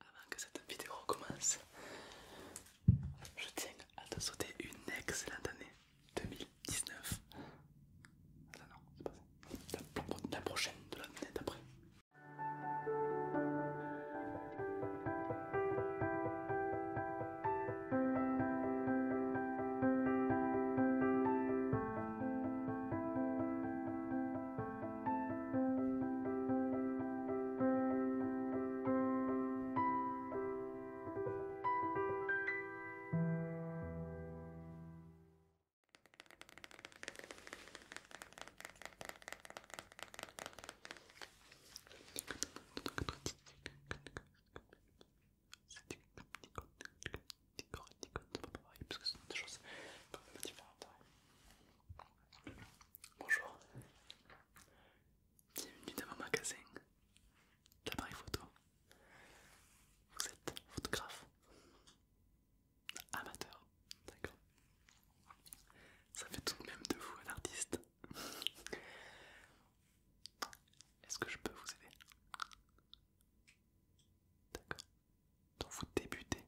Avant que cette vidéo commence, je tiens à te souhaiter une excellente année 2019. Ah non, c'est pas ça. la prochaine de l'année d'après c'est pas des choses Bonjour, bienvenue dans mon magasin d'appareil photo. Vous êtes photographe amateur, d'accord Ça fait tout de même de vous un artiste. Est-ce que je peux vous aider D'accord donc vous débutez,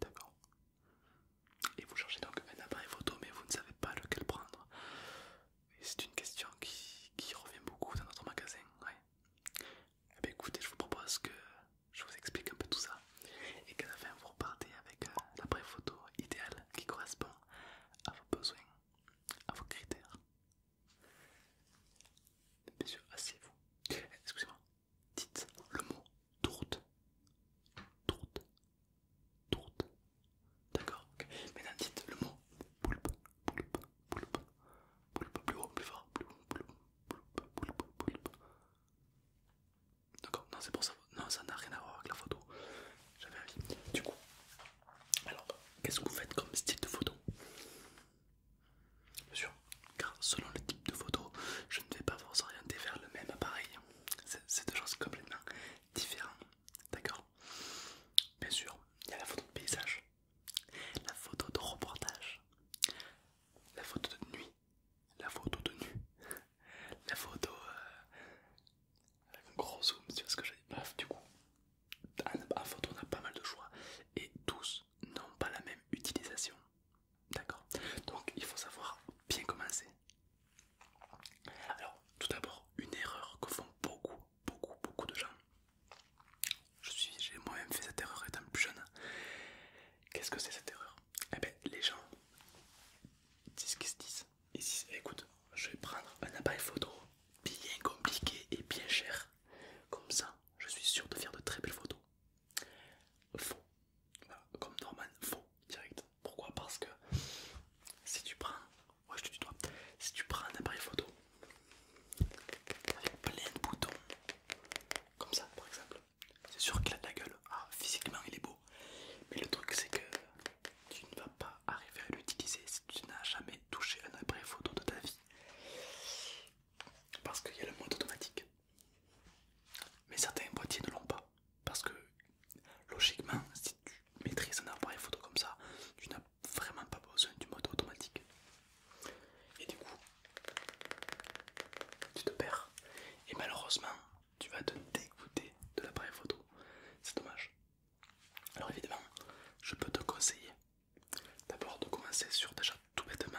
d'accord Et vous cherchez donc un appareil photo, mais vous ne savez pas lequel prendre. C'est une question qui, revient beaucoup dans notre magasin, ouais. Eh ben, écoutez, je vous propose que je vous explique un peu tout ça et qu'à la fin vous repartez avec euh, l'appareil photo idéal qui correspond à vos besoins, à vos critères. Bien sûr, asseyez-vous. Excusez-moi, dites le mot tourte. Tourte. Tourte. D'accord mais Maintenant dites le mot poulpe. Poulpe. Poulpe. Poulpe. Plus haut, plus fort. Poulpe. D'accord Non, c'est pour ça. Non, ça n'a rien à voir avec la photo. J'avais envie. Du coup, alors, qu'est-ce que vous faites comme style de photo Bien sûr, car selon le type de photo, je ne vais pas vous orienter vers le même appareil. C'est deux choses complètement différentes, d'accord Bien sûr, il y a la photo de paysage, la photo de reportage, la photo de nuit, la photo de nuit, la photo euh, avec un gros zoom, tu vois ce que j'ai dit Bref, du coup, en photo on a pas mal de choix et tous non, n'ont pas la même utilisation. D'accord Donc il faut savoir bien commencer. Alors tout d'abord, une erreur que font beaucoup, beaucoup, beaucoup de gens. Je j'ai moi-même fait cette erreur étant plus jeune. Qu'est-ce que c'est cette erreur Eh bien, les gens disent ce qu'ils se disent. Ils disent, eh, écoute, je vais prendre un appareil photo bien compliqué et bien cher. Comme ça, je suis sûr de faire de très belles photos. Faux. comme Norman, faux, direct. Pourquoi Parce que si tu prends... Ouais, je te toi, Si tu prends un appareil photo avec plein de boutons, comme ça par exemple, c'est sûr qu'il a de la gueule. Ah, physiquement il est beau. Mais le truc c'est que tu ne vas pas arriver à l'utiliser si tu n'as jamais touché un appareil photo de ta vie. Parce qu'il y a le mode automatique. Mais certains boîtiers ne l'ont pas. Parce que logiquement, si tu maîtrises un appareil photo comme ça, tu n'as vraiment pas besoin du mode automatique. Et du coup, tu te perds. Et malheureusement, tu vas te dégoûter de l'appareil photo. C'est dommage. Alors évidemment, je peux te conseiller d'abord de commencer sur déjà tout bêtement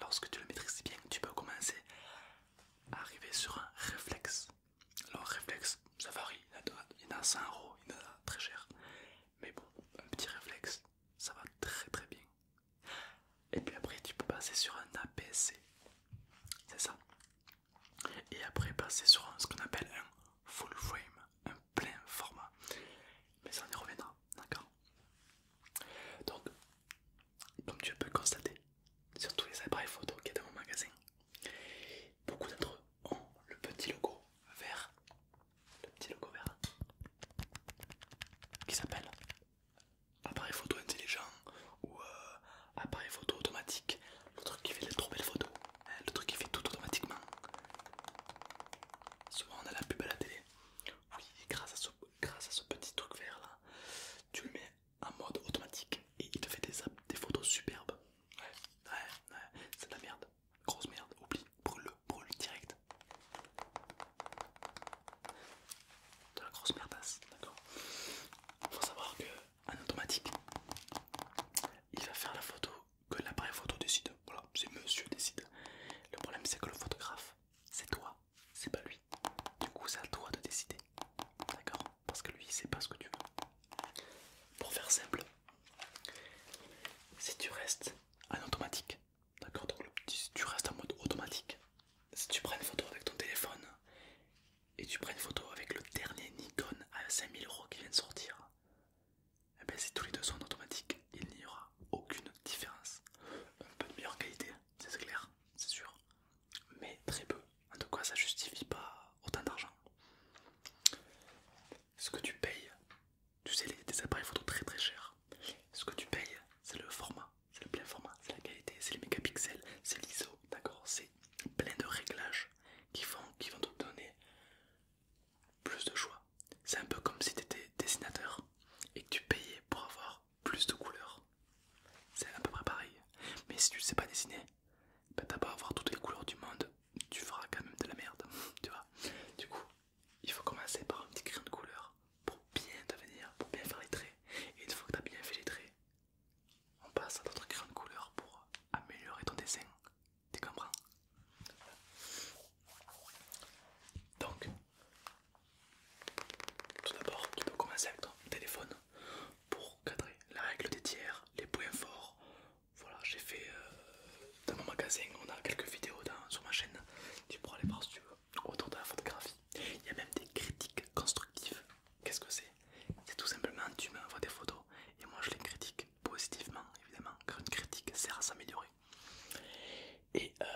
lorsque tu le maîtrises bien, tu peux commencer à arriver sur un réflexe. Alors, réflexe, ça varie, il y en a 100 euros, il y en a très cher, mais bon, un petit réflexe, ça va très très bien. Et puis après, tu peux passer sur un APC, c'est ça, et après passer sur ce qu'on appelle un full frame, un plein format, mais ça on y reviendra, d'accord? Donc, comme tu peux constater sur tous les appareils photo qui y dans mon magasin, beaucoup d'entre eux ont le petit logo vert, le petit logo vert qui s'appelle appareil photo intelligent ou euh, appareil photo automatique, le truc qui fait les trop belles photos, hein, le truc qui fait tout automatiquement. Souvent on a la pub à la télé. Oui, grâce à ce, grâce à ce petit truc vert là, tu le mets en mode automatique et il te fait des, photos superbes. Ouais, ouais, ouais, c'est de la merde, grosse merde, oublie, brûle-le, brûle direct. De la grosse merdasse, d'accord Faut savoir qu'en automatique, il va faire la photo que l'appareil photo décide. Voilà, c'est monsieur décide. Le problème c'est que le photographe, c'est toi c'est pas lui. Du coup, c'est à toi de décider. D'accord Parce que lui, il sait pas ce que tu veux. Pour faire simple, si tu restes en automatique, d'accord Donc, si tu restes en mode automatique, si tu prends une photo avec ton téléphone et tu prends une photo avec le dernier Nikon à 5000 euros qui vient de sortir, et eh bien si tous les deux sont en automatique, il n'y aura aucune différence. Un peu de meilleure qualité, c'est clair, c'est sûr, mais très peu. En tout cas, ça justifie pas autant d'argent. Ce que tu payes, tu sais, les, appareils font très très cher Ce que tu payes, c'est le format, c'est le plein format, c'est la qualité, c'est les mégapixels, c'est l'ISO, d'accord C'est plein de réglages qui, font, qui vont te donner plus de choix. C'est un peu comme si tu étais dessinateur et que tu payais pour avoir plus de couleurs. C'est à peu près pareil. Mais si tu ne sais pas dessiner, bah pas avoir toutes les couleurs du monde, tu feras quand même de la merde, tu vois. Du coup, il faut commencer par un petit crayon de couleur pour bien devenir, pour bien faire les traits. Et une fois que tu as bien fait les traits, on passe à d'autres crayons de couleur pour améliorer ton dessin. Tu comprends donc, tout d'abord, tu peux commencer avec ton téléphone pour cadrer la règle des tiers, les points forts. Voilà, j'ai fait euh, dans mon magasin, on a quelques vidéos sur ma chaîne. Tu pourras les voir si tu veux autour de la photographie. Il y a même des critiques constructives. Qu'est-ce que c'est C'est tout simplement tu m'envoies des photos et moi je les critique positivement, évidemment, car une critique sert à s'améliorer. Et euh,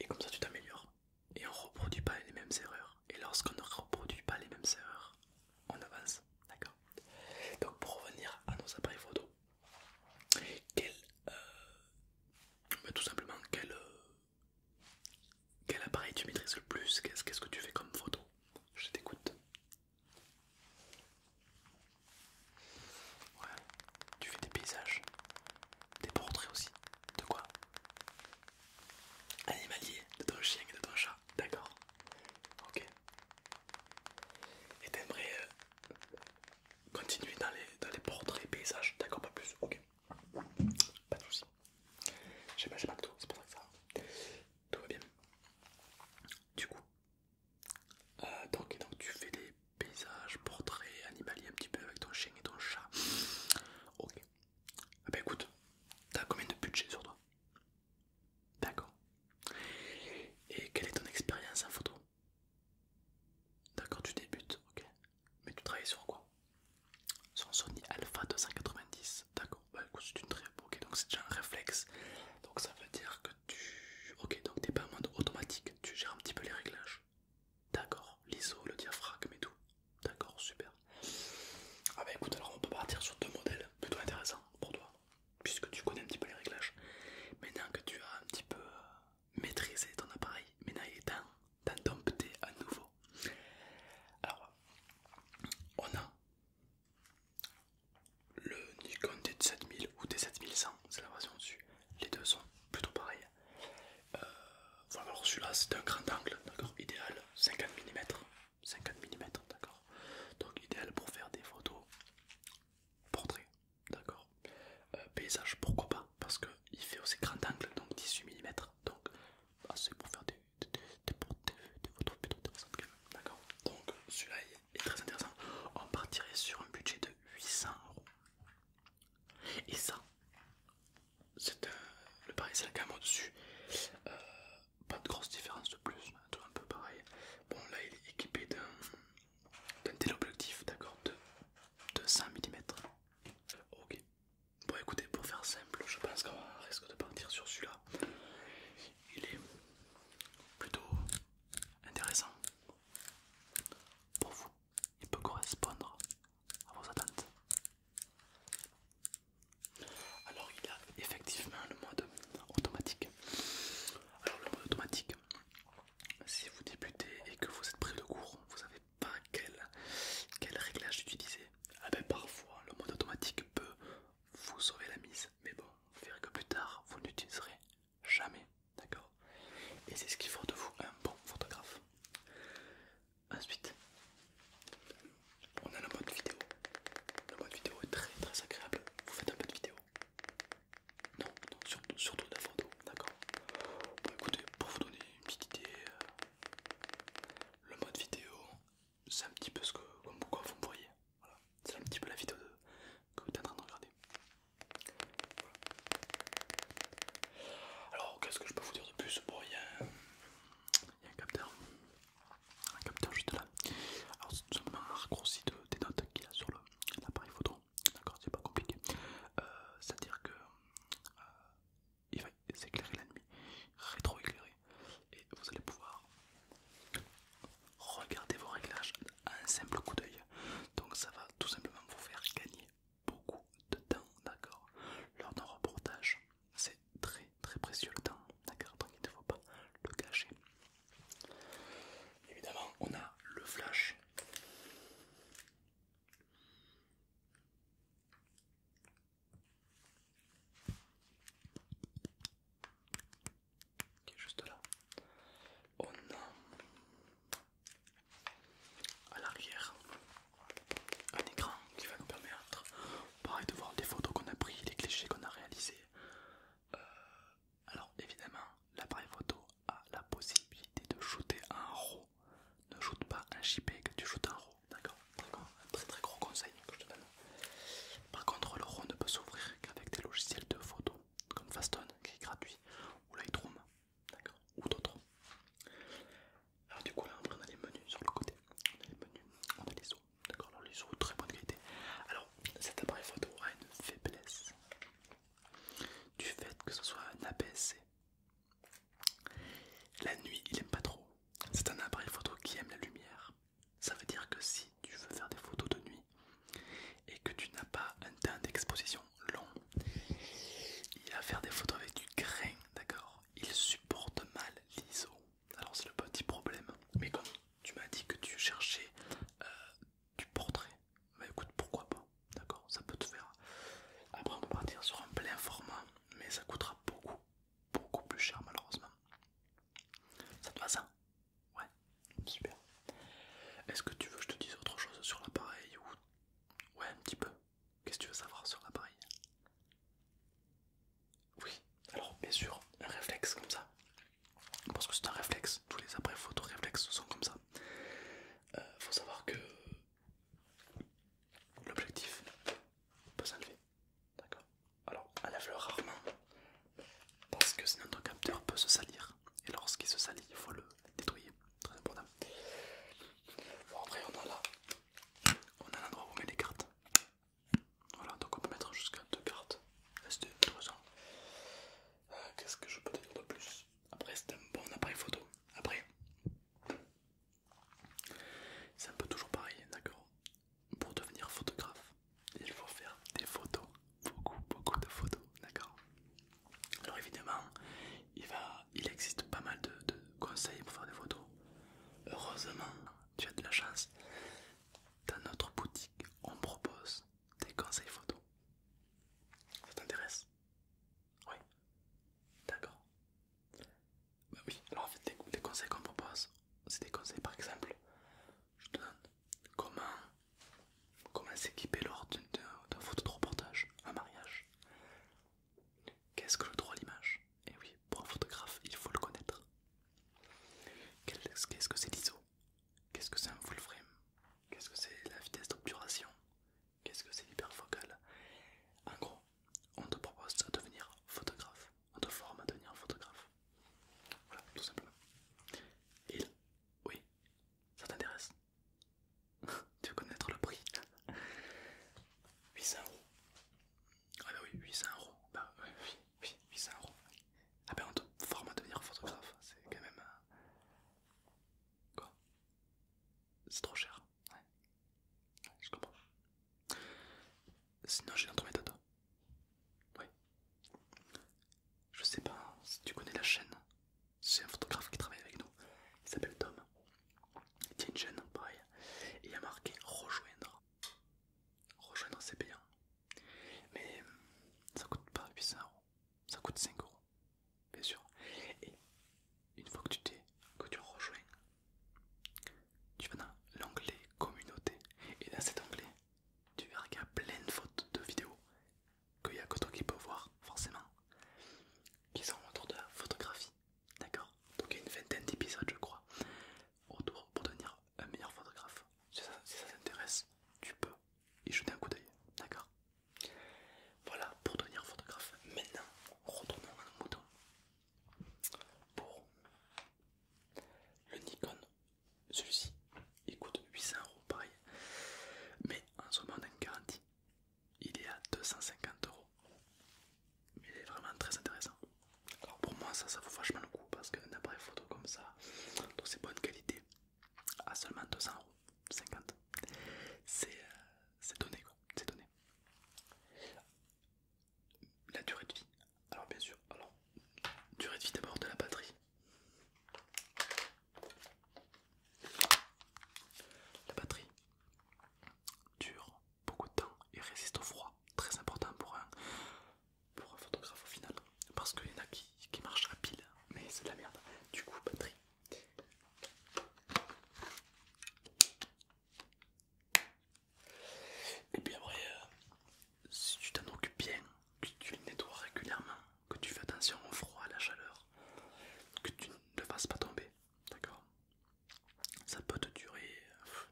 et comme ça tu t'améliores. Et on reproduit pas les mêmes erreurs. Et lorsqu'on ne reproduit pas les mêmes erreurs, on avance. D'accord Donc pour revenir à nos appareils photo, quel, euh, tout simplement euh, quel, appareil tu maîtrises le plus Qu'est-ce que tu fais comme photo Je t'écoute. Ouais, tu fais des paysages, des portraits aussi. De quoi Animalier, de ton chien et de ton chat, d'accord. Ok. Et t'aimerais euh, continuer dans les, dans les portraits et paysages, d'accord, pas plus, ok. Pas de soucis. J'ai pas, pas de tout, c'est pour ça que ça. va Tout va bien. Du coup, euh, donc, donc tu fais des Paysage, portrait, animalier un petit peu avec ton chien et ton chat. Ok. Ah bah écoute, t'as combien de budget sur toi D'accord. Et quelle est ton expérience en photo D'accord, tu débutes, ok. Mais tu travailles sur quoi Sur un Sony Alpha 290. D'accord, bah écoute, c'est une très... Ok, donc c'est déjà un réflexe. Donc ça veut dire que tu... Ok, donc t'es pas en mode automatique, tu gères un petit peu les réglages. D'accord, l'ISO, le diaphragme et tout. D'accord, super. Ah bah écoute, alors on peut partir sur deux modèles plutôt intéressants pour toi, puisque tu connais un petit peu les réglages. Maintenant que tu as un petit peu euh, maîtrisé ton appareil, maintenant il est temps d'en dompter à nouveau. Alors, on a le Nikon D7000 ou D7100, c'est la version dessus les deux sont plutôt pareils. Euh, voilà, celui-là c'est un grand angle, d'accord, idéal, 50 mm, 50 mm, d'accord, donc idéal pour faire des photos portraits, d'accord, euh, paysage pourquoi pas, parce qu'il fait aussi grand angle, donc 18 mm, donc ah, c'est pour faire des, des, des, photos plutôt intéressantes, d'accord, donc celui-là très intéressant. On partirait sur un budget de 800 euros. Et ça, c'est euh, le pareil, c'est la au-dessus. Euh, pas de grosse différence de plus, tout un peu pareil. Bon, là, il est équipé d'un téléobjectif, d'accord, de 100 mm. Ok. Bon, écoutez, pour faire simple, je pense qu'on risque de partir sur celui-là. Il est plutôt intéressant. Pour vous, il peut correspondre à vos attentes. Alors il a effectivement le mode automatique. Alors le mode automatique, si vous débutez et que vous êtes pris de courant vous savez pas quel, réglage utiliser. Ah ben parfois le mode automatique peut vous sauver la mise, mais bon, vous verrez que plus tard vous n'utiliserez Jamais, d'accord Et c'est ce qu'il faut de vous, un bon photographe. Ensuite, on a le mode vidéo. Le mode vidéo est très très agréable. Vous faites un peu de vidéo Non, non surtout, de la photo, d'accord écoutez, pour vous donner une petite idée, euh, le mode vidéo, c'est un petit peu ce que, vous voyez. c'est un petit peu la vidéo que vous êtes en train de regarder. Alors qu'est-ce que je peux vous dire de plus Bon, il y, a un capteur, un capteur juste là. Alors c'est tout simplement un raccourci des notes qu'il a sur l'appareil photo. D'accord, c'est pas compliqué. Euh, c'est-à-dire que euh, il va s'éclairer la nuit, rétro-éclairer, et vous allez pouvoir regardez vos réglages à un simple coup d'œil. Donc ça va tout simplement vous faire gagner beaucoup de temps, d'accord Lors d'un reportage, c'est très très précieux le temps, d'accord Donc il ne faut pas le cacher. Évidemment, on a le flash qui est juste là. Oh On a à l'arrière un écran qui va nous permettre, de voir les photos qu'on a prises, les clichés qu'on a réalisés. Euh, alors évidemment, l'appareil photo a la possibilité de shooter en RAW. Ne shoot pas un JPEG, tu shootes en RAW, d'accord Un très très gros conseil que je te donne. Par contre, le RAW ne peut s'ouvrir qu'avec des logiciels de photo comme Faston qui est gratuit, ou Lightroom, d'accord, ou d'autres. Alors du coup là après on a les menus sur le côté, on a les menus, on a les eaux, d'accord, les eaux très bonne qualité. Alors cet appareil photo a une faiblesse du fait que ce soit un APS-C. La nuit il aime pas trop, c'est un appareil photo qui aime la lumière, ça veut dire que si tu veux faire des photos de nuit et que tu n'as pas un temps d'exposition long, il va faire des photos avec du grain, d'accord Il supporte mal l'ISO. Alors c'est le petit problème. Mais comme tu m'as dit que tu cherchais euh, du portrait, bah écoute, pourquoi pas D'accord Ça peut te faire. Après, on peut partir sur un plein format, mais ça coûtera beaucoup, beaucoup plus cher malheureusement. Ça te va ça Ouais, super. Est-ce que tu veux que je te dise autre chose sur l'appareil ou... Ouais, un petit peu. Qu'est-ce que tu veux savoir sur l'appareil Oui, alors bien sûr, un réflexe comme ça. Parce que c'est un réflexe, tous les appareils photo réflexes sont comme ça. Euh, faut savoir que l'objectif peut s'enlever. D'accord Alors, enlève-le rarement parce que sinon notre capteur peut se salir. Et lorsqu'il se salit, il faut le détruire. Très important. Bon après on a là. On a l'endroit où on met les cartes. Voilà, donc on peut mettre jusqu'à deux cartes. Euh, qu'est-ce que je peux te dire de plus Après c'est un bon appareil photo. Après. C'est un peu toujours pareil, d'accord Pour devenir photographe, il faut faire des photos, beaucoup, beaucoup de photos, d'accord Alors évidemment, il, va, il existe pas mal de, conseils pour faire des photos. Heureusement, tu as de la chance. Dans notre boutique, on propose des conseils photos. Ça t'intéresse Oui. D'accord. Bah oui, alors en fait, des, conseils qu'on propose, c'est des conseils par exemple, je te donne comment comment s'équiper lors d'un photo de reportage, un mariage. Qu'est-ce que le droit à l'image Et eh oui, pour un photographe, il faut le connaître. Qu'est-ce que c'est l'ISO Qu'est-ce que c'est un full frame Qu'est-ce que c'est la vitesse d'obturation Qu'est-ce que c'est l'hyperfocal En gros, on te propose de devenir photographe on te forme à devenir photographe. Voilà, tout simplement. Et là, oui, ça t'intéresse Tu veux connaître le prix 800 euros. Ah bah oui, 800 euros. Bah euh, oui, oui, 800 euros. Ah bah on te forme à devenir photographe, c'est quand même... Euh, quoi C'est trop cher. Ouais. je comprends. Sinon j'ai une autre méthode. Oui. Je sais pas si tu connais la chaîne. C'est un photographe qui travaille avec nous. Il s'appelle Tom. Il tient une chaîne, pareil. Et il a marqué rejoindre. Rejoindre c'est payant. Mais euh, ça coûte pas 800 euros. Ça coûte 5 euros. Bien sûr. Et une fois que tu t'es, que tu rejoins, tu vas dans l'onglet communauté. Et dans cet onglet, tu verras qu'il y a plein de photos de vidéos qu'il n'y a que toi qui peux voir, forcément, qui sont autour de la photographie. D'accord Donc il y a une vingtaine d'épisodes, je crois, autour pour devenir un meilleur photographe. Si ça, t'intéresse, tu peux y jeter un coup d'œil. D'accord Voilà pour devenir photographe. Maintenant, retournons à nos Pour le Nikon celui-ci, il coûte 800 euros pareil, mais en ce moment une garantie, il est à 250 euros. Mais il est vraiment très intéressant. Alors pour moi, ça, ça vaut vachement le coup parce qu'un appareil photo comme ça, de ses bonnes qualités, à seulement 200 euros, 50, euh, c'est donné quoi, c'est donné la durée de vie. Alors bien sûr, alors durée de vie d'abord de la batterie. La batterie dure beaucoup de temps et résiste au froid, très important pour un, pour un photographe au final, parce qu'il y en a qui, qui marchent à pile, mais c'est de la merde. Du coup, batterie. Et puis après, euh, si tu t'en occupes bien, que tu le nettoies régulièrement, que tu fais attention au froid, à la chaleur, que tu ne le fasses pas tomber, d'accord Ça peut te durer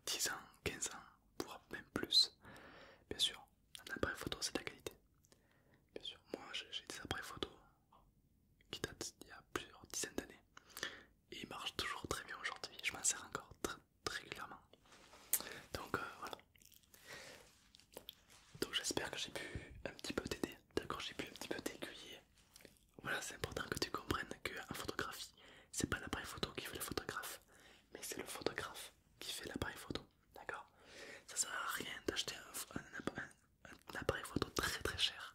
10 euh, ans, 15 ans, voire même plus. Bien sûr, un après photo c'est ta la qualité. Bien sûr, moi j'ai des après photos qui datent d'il y a plusieurs dizaines d'années et ils marchent toujours très bien aujourd'hui. Je m'en sers encore très clairement. Donc euh, voilà. Donc j'espère que j'ai pu un petit peu t'aider, d'accord J'ai pu un petit peu t'aiguiller. Voilà, c'est important que tu comprennes que qu'en photographie, c'est pas l'appareil photo qui fait le photographe, mais c'est le photographe qui fait l'appareil photo, d'accord Ça sert à rien d'acheter un, appareil photo très très cher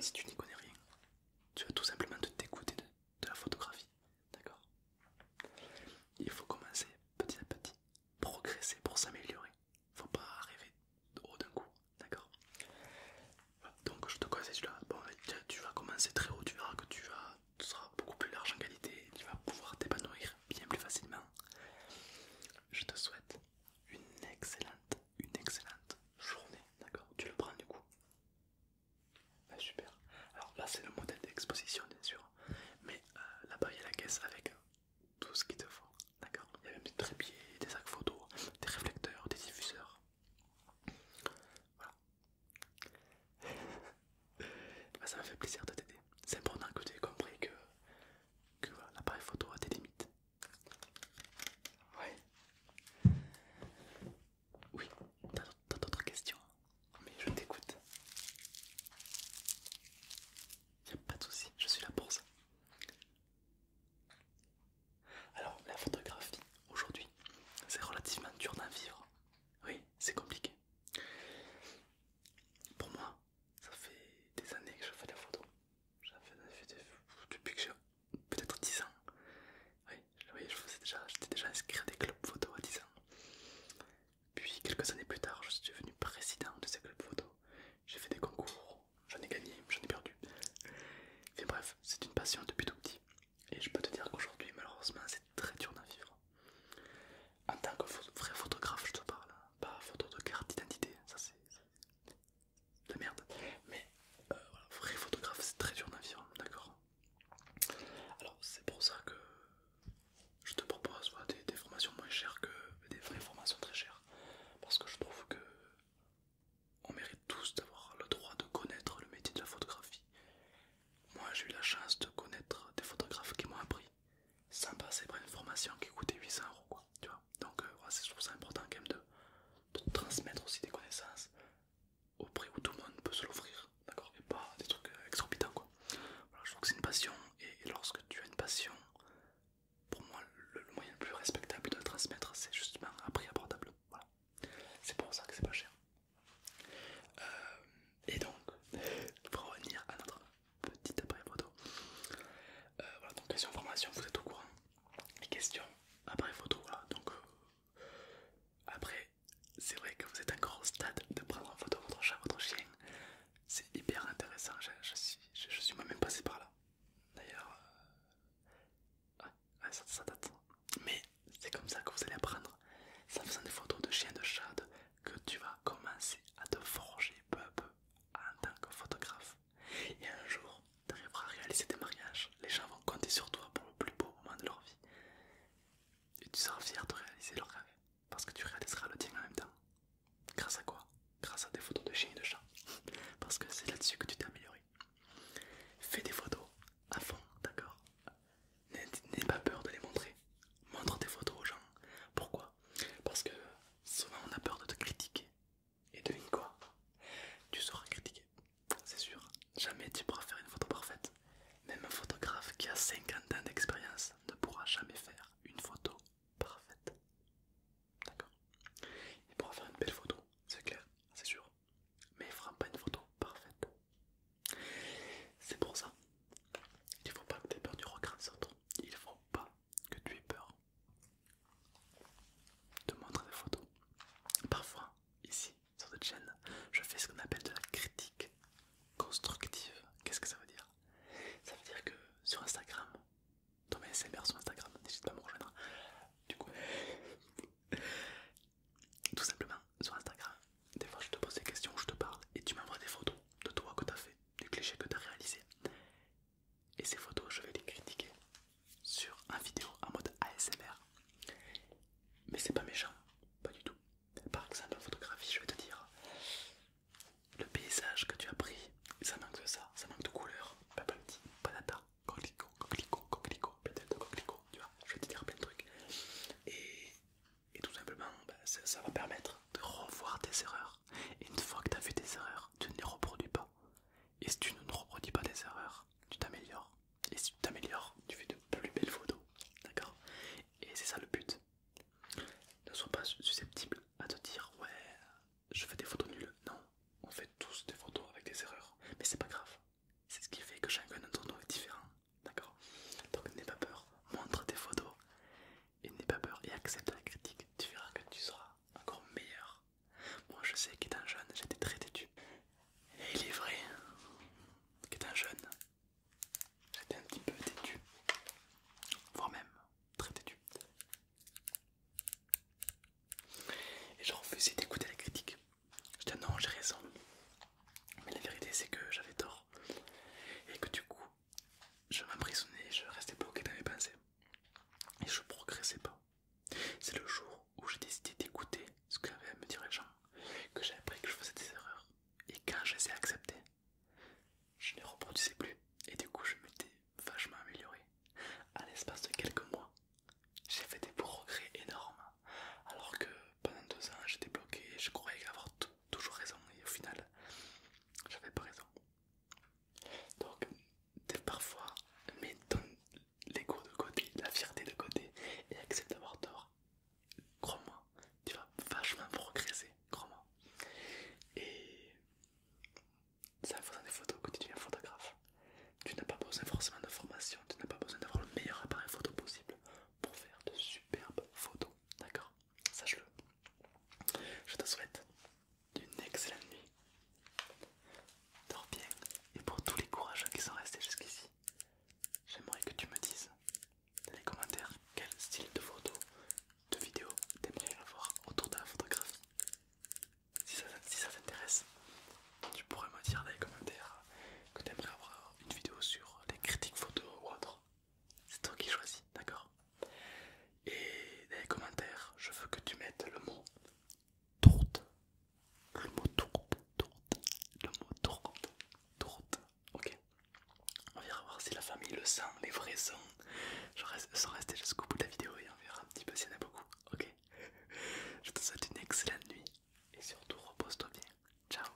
si tu n'y connais rien. Tu vas tout simplement te dégoûter de la photographie. D'accord Il faut commencer petit à petit, progresser pour s'améliorer. Faut pas arriver haut d'un coup, d'accord Donc je te conseille Bon, tu vas commencer très haut, tu verras que tu, vas, seras beaucoup plus large en qualité tu vas pouvoir t'épanouir bien plus facilement. Je te souhaite une excellente, une excellente journée, d'accord Tu le prends du coup bah, super. Alors là c'est le modèle d'exposition bien sûr. Mais euh, là-bas il y a la caisse avec euh, tout ce qu'il te faut. D'accord Il y a même des trépieds, des sacs photo, des réflecteurs, des diffuseurs. Voilà. Bah, ça m'a fait plaisir de t'aider. C'est important que tu aies compris que, l'appareil photo a des limites. Ouais. Oui, t'as d'autres questions hein. Mais je t'écoute. Y'a pas de souci, je suis la pour Alors, la photographie, aujourd'hui, c'est relativement dur d'en vivre. Oui, c'est compliqué. Pour moi, ça fait des années que je fais de la photo. Fait des... Depuis que j'ai peut-être 10 ans. Oui, je faisais déjà, j'étais déjà inscrit à des clubs photo à 10 ans. Puis quelques années plus tard, je suis devenu président de ces clubs photo. J'ai fait des concours, j'en ai gagné, j'en ai perdu. Mais bref, c'est une passion depuis tout petit. Et je peux te dire qu'aujourd'hui, malheureusement, c'est très dur d'en vivre. En tant que vrai photographe, je te parle, hein. pas photo de carte d'identité, ça c'est de merde. Mais euh, vrai photographe, c'est très dur d'en vivre, d'accord alors c'est pour ça que je te propose des, formations moins chères que des vraies formations très chères. Parce que je trouve que on mérite tous d'avoir le droit de connaître le métier de la photographie. Moi j'ai eu la chance de connaître des photographes qui m'ont appris sans passer par une formation qui coûtait 800 euros quoi. Tu vois Donc moi euh, je trouve ça important quand même de transmettre aussi des connaissances au prix où tout le monde peut se l'offrir, d'accord Et pas des trucs euh, exorbitants, quoi. je trouve que c'est une passion, et, lorsque tu as une passion, pour moi, le, moyen le plus respectable de la transmettre, c'est justement un prix abordable. Voilà, c'est pour ça que c'est pas cher. Euh, et donc, pour revenir à notre petit après photo, euh, voilà, donc question formation, vous êtes au courant. Les questions appareil photo, voilà, donc après, c'est vrai que vous êtes encore au stade de prendre en photo votre chat, votre chien. C'est hyper intéressant, je, suis, moi-même passé par là. D'ailleurs, euh, ça, date. Mais c'est comme ça que vous allez apprendre. C'est en faisant des photos de chiens, de chats, que tu vas commencer à te forger peu à peu en tant que photographe. Et un jour, tu arriveras à réaliser tes mariages, les gens vont compter sur toi pour le plus beau moment de leur vie. Et tu seras fier de réaliser leur rêve, parce que tu réaliseras le tien en même temps. Grâce à quoi Grâce à des photos de chiens et de chat parce que c'est là-dessus que tu t'es amélioré. Fais des photos à fond, d'accord N'aie pas peur de les montrer. Montre tes photos aux gens. Pourquoi Parce que souvent on a peur de te critiquer. Et devine quoi Tu seras critiqué c'est sûr. Jamais tu pourras faire une photo parfaite. Même un photographe qui a 50 ans d'expérience ne pourra jamais faire une photo parfaite. D'accord Il pourra faire une belle photo, c'est clair, c'est sûr. Mais il fera pas une photo parfaite. C'est pour ça. Il faut pas que tu aies peur du regard des autres. Il faut pas que tu aies peur de montrer des photos. Parfois, ici, sur cette chaîne, je fais ce qu'on appelle de la critique constructive. Qu'est-ce que ça veut dire Ça veut dire que sur Instagram, mets sur Instagram, n'hésite pas à me rejoindre. Du coup, tout simplement, sur Instagram, des fois je te pose des questions, je te parle et tu m'envoies des photos de toi que tu as fait, du cliché que tu as réalisé Et ces photos, je vais les critiquer sur un vidéo en mode ASMR. Mais c'est pas méchant, pas du tout. Par exemple, en photographie, je vais te dire le paysage que tu as pris, ça manque de ça, ça manque de couleur, petit, patata, coquelicot, coquelicot, coquelicot, peut-être coquelicot, tu vois, je vais te dire plein de trucs. Et, et tout simplement, bah, ça, va permettre de revoir tes erreurs. Et une fois que tu as vu tes erreurs, tu ne les reproduis pas. Et si tu ne reproduis pas des erreurs, tu t'améliores. Et si tu t'améliores, tu fais de plus belles photos. D'accord Et c'est ça le but. Ne sois pas susceptible à te dire ouais, je fais des photos nulles. Non, on fait tous des photos avec des erreurs. Mais c'est pas grave. C'est ce qui fait que chacun d'entre nous est différent. D'accord Donc n'aie pas peur, montre tes photos et n'aie pas peur et accepte la critique. Tu verras que tu seras encore meilleur moi je sais qu'étant jeune j'étais très têtu. Et il est vrai qu'étant jeune j'étais un petit peu têtu. Voire même très têtu. Et je refusais d'écouter la critique. Je disais non j'ai raison. Mais la vérité c'est que j'avais tort. Et que du coup je m'emprisonnais, je restais bloqué dans mes pensées. Et je progressais pas. C'est le jour où j'ai décidé d'écouter ce qu'avait à me dire les gens, que j'ai appris que je faisais des erreurs, et quand je les ai acceptées, je ne reproduisais plus, et du coup je m'étais vachement amélioré. À l'espace de quelques mois, j'ai fait des progrès énormes, alors que pendant deux ans j'étais bloqué, je croyais avoir toujours raison, et au final, j'avais pas raison. Donc, parfois, mais dans l'ego de côté, la fierté de côté et accepte d'avoir tort. Crois-moi, tu vas vachement progresser, crois-moi. Et c'est en faisant des photos que tu deviens photographe. Tu n'as pas besoin forcément de formation, tu n'as pas besoin d'avoir le meilleur appareil photo possible pour faire de superbes photos, d'accord Sache-le. Je te souhaite d'une excellente nuit. Dors bien et pour tous les courageux qui sont restés jusqu'ici, j'aimerais que tu me dises dans les commentaires quel style de photo, de vidéo t'aimerais avoir autour de la photographie. Si ça, t'intéresse, tu pourrais me dire dans les commentaires que tu aimerais avoir une vidéo sur les critiques photo ou autre. C'est toi qui choisis, d'accord Et dans les commentaires, je veux que tu mettes le mot tourte. Le mot tourte, tourte, le mot Ok. On verra voir si la famille le sent, les vrais sons. Je reste sans rester jusqu'au bout de la vidéo et on verra un petit peu s'il y en a beaucoup. Ok. Je te souhaite une excellente nuit et surtout repose-toi bien. Ciao.